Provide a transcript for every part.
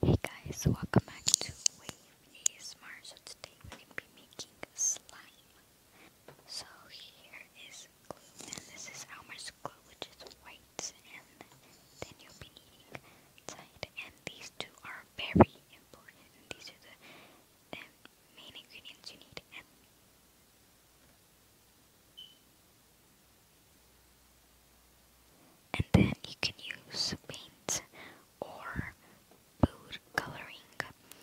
Hey guys, welcome back to Wave ASMR. So today we're going to be making slime. So here is glue, and this is Elmer's glue, which is white, and then you'll be needing tide. And these two are very important. These are the, main ingredients you need. And then you can use paint or food coloring.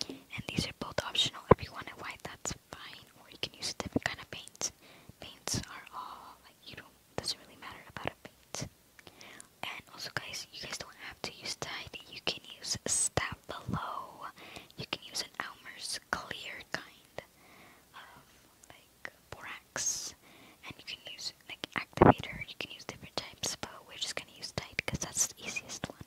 And these are both optional. If you want to white, that's fine. Or you can use a different kind of paint. Paints are all you don't doesn't really matter about a paint. And also guys, you guys don't have to use dye, you can use stab below. You can use an Almer's clear kind of like borax, and you can use like activator. You can use different types, but we're just gonna use tight because that's the easiest one.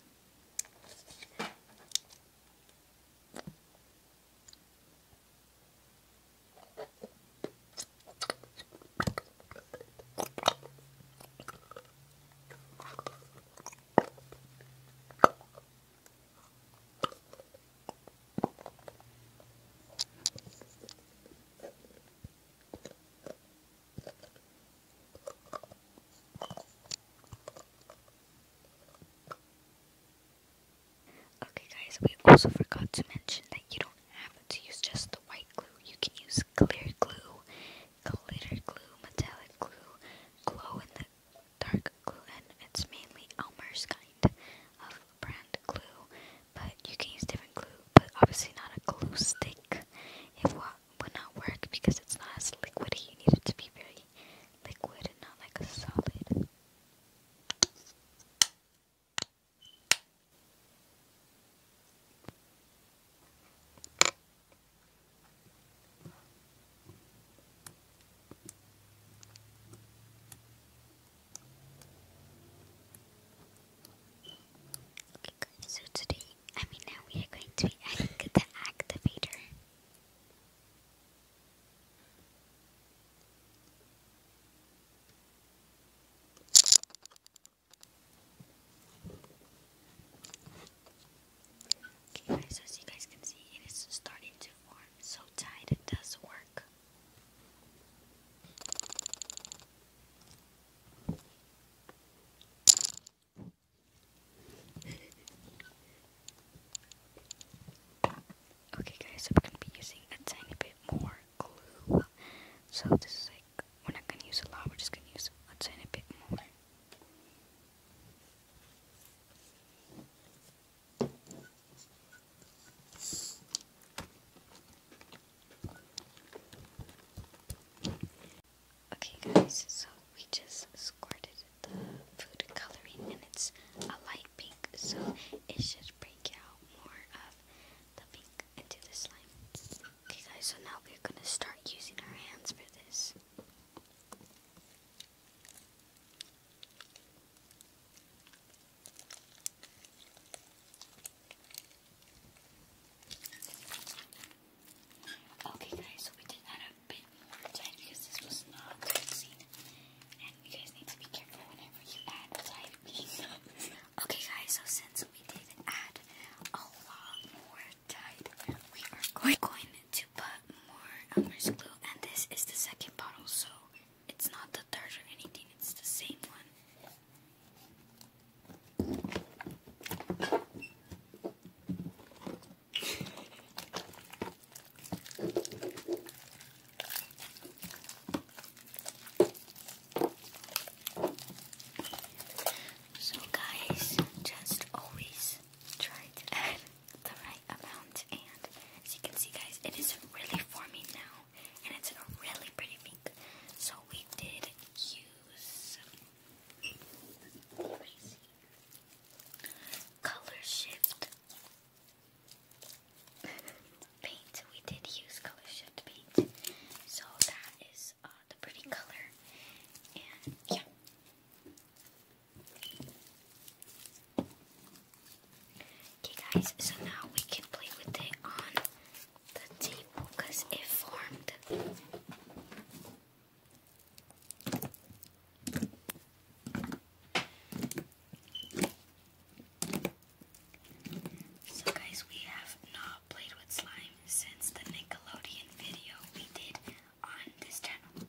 Okay guys, we also forgot to mention that you don't have to use just the white glue. You can use clear glue, glitter glue, metallic glue, glow in the dark glue, and it's mainly Elmer's kind of brand glue but you can use different glue, but obviously not a glue stick. It would not work because it's not as liquidy. You need it to be very liquid and not like a solid so today, I mean now we are going to be adding the activator. Okay guys, so as you guys can see, it is starting to form so tight it does work okay guys, so we're gonna be using a tiny bit more glue. So this is like we're not gonna use a lot, we're just gonna use a tiny bit more. Okay, guys, so we just squirted the food coloring and it's a light pink, so it should break out more of the pink into the slime. Okay, guys, so now we're gonna start using our hands for this. Okay, guys, so we did add a bit more time because this was not seen. And you guys need to be careful whenever you add time. okay, guys, so since we did add a lot more time, we are going, going to put more Elmer's glue. And this is the second bottle, so it's not the third or anything, it's the same one. So, guys, just always try to add the right amount, and as you can see, guys, it is really forming now and it's in a really pretty pink. So we did use color shift paint. We did use color shift paint, so that is uh, the pretty color, and yeah. Okay guys, so now we can play with it on the table because it formed. So, guys, we have not played with slime since the Nickelodeon video we did on this channel.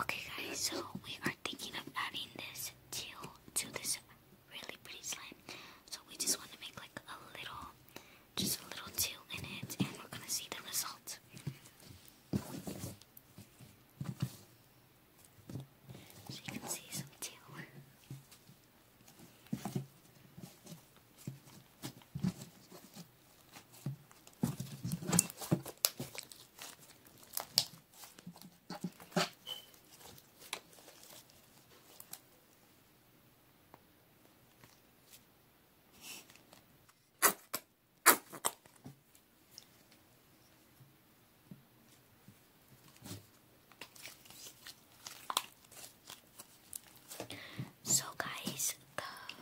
Okay guys, so we are thinking of adding this teal to this really pretty slime. So we just want to make like a little, just a little two in it, and we're gonna see the result. So you can see some teal. So, guys,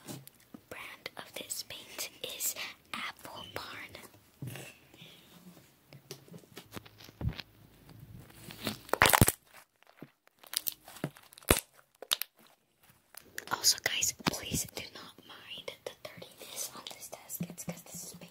the brand of this paint is Apple Barn. Also, guys, please do not mind the dirtiness on this desk. It's because this is painted.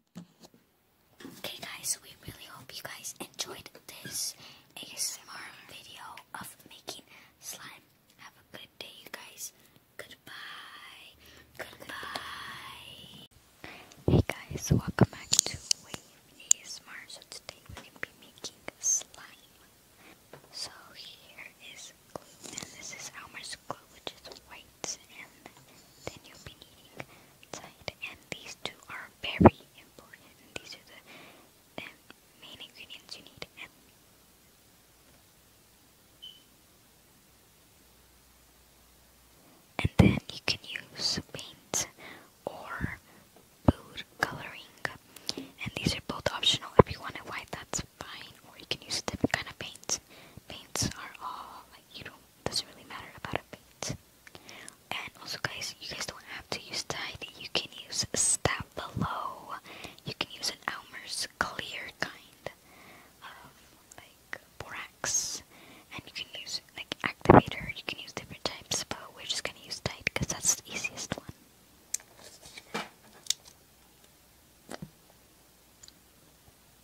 Okay guys, so we really hope you guys enjoyed this ASMR video of making slime. Have a good day you guys. Goodbye. Goodbye. Hey guys, welcome back to Wave ASMR. So today we're going to be making slime. So here is glue and this is Elmer's glue which is and then you'll be needing side and these two are very important these are the main ingredients you need and then you can use paint or food coloring. And these are both optional. If you want to white, that's fine. Or you can use a different kind of paint. Paints are all you don't doesn't really matter about a bait. And also, guys, you guys don't have to use tide. You can use stab below. You can use an Elmer's clear kind of like borax, and you can use like activator. You can use different types, but we're just gonna use tide because that's the easiest one.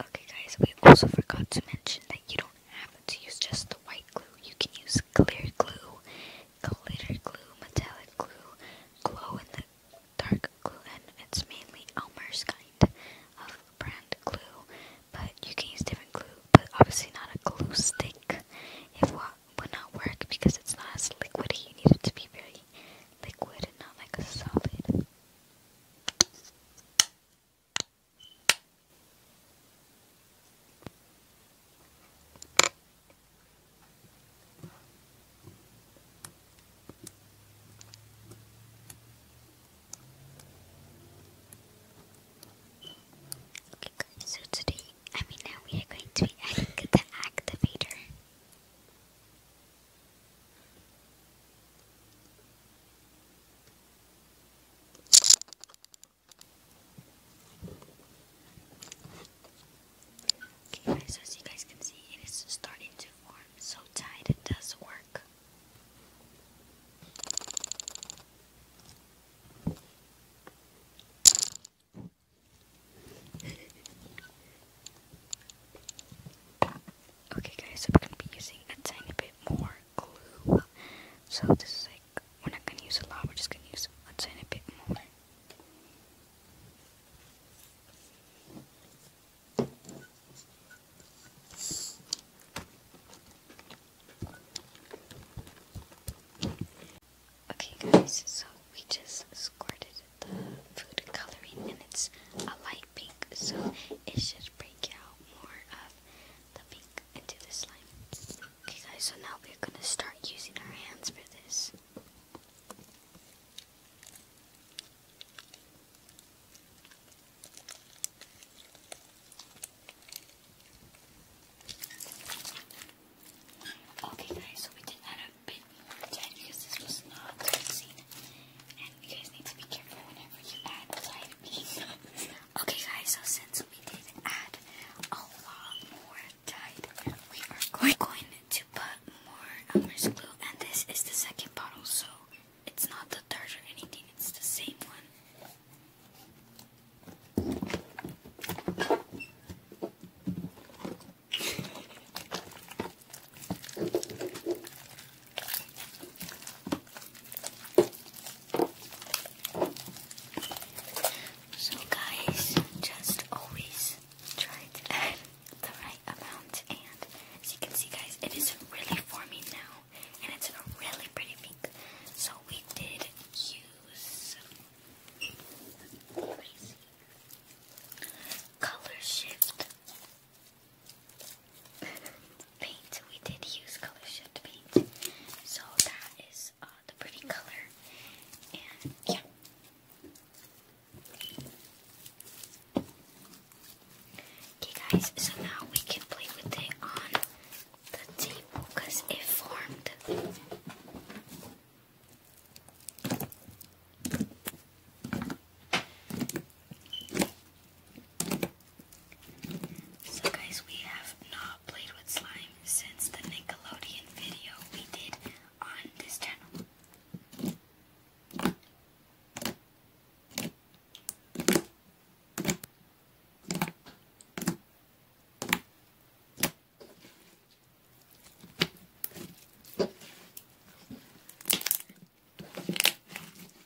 Okay guys, we also forgot to mention that you don't have to use just the white glue. You can use clear glue, glitter glue, metallic glue, glow in the dark glue, and it's mainly Elmer's kind of brand glue. But you can use different glue, but obviously not a glue stick. It would not work because it's not as liquidy. You need it to be very liquid and not like a solid. Okay so today, I mean now we are going to be adding the activator. Okay guys, so as you guys can see, it is starting to form, so tight, it does work. okay guys, so we're going to be using a tiny bit more glue. So this is like, we're not going to use a lot, we're just going to use a little bit more. Okay guys, so we just squirted the food coloring and it's a light pink, so it should break out more of the pink into the slime. Okay guys, so now we're gonna start using our hands for this. Okay guys, so we did add a bit because this was not mixing. And you guys need to be careful whenever you add time. Okay, guys, so since we did add a lot more dye, we are going to put more Elmer's glue, and this is the second bottle, so it's not the third or anything, it's the same one. So guys, just always try the right amount and as you can see guys, it is really forming now and it's a really pretty pink. So we did use Color Shift paint. We did use color shift paint, so that is uh, the pretty color. And yeah. Okay, guys, so now we can play with it on the table because it formed. So guys, we have not played with slime since the Nickelodeon video we did on this channel.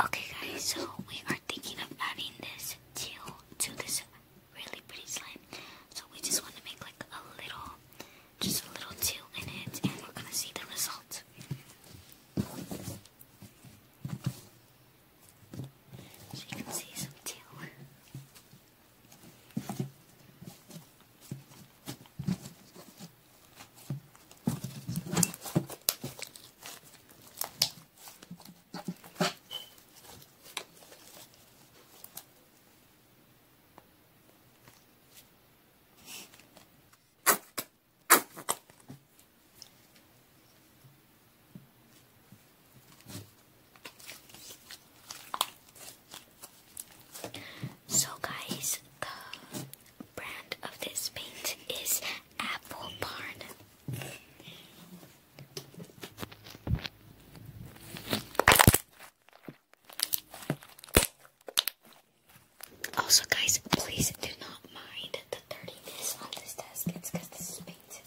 Okay guys, so we are thinking of adding this teal to this really pretty slime. So we just want to make like a little, just a little teal in it and we're going to see the result. So you can see some teal. So guys, the brand of this paint is Apple Barn. Also guys, please do not mind the dirtiness on this desk. It's because this is painted.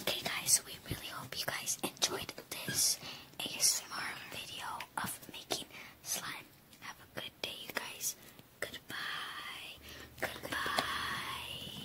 Okay guys, we really hope you guys enjoyed this ASMR video of making slime. Have a good day you guys. Goodbye. Goodbye.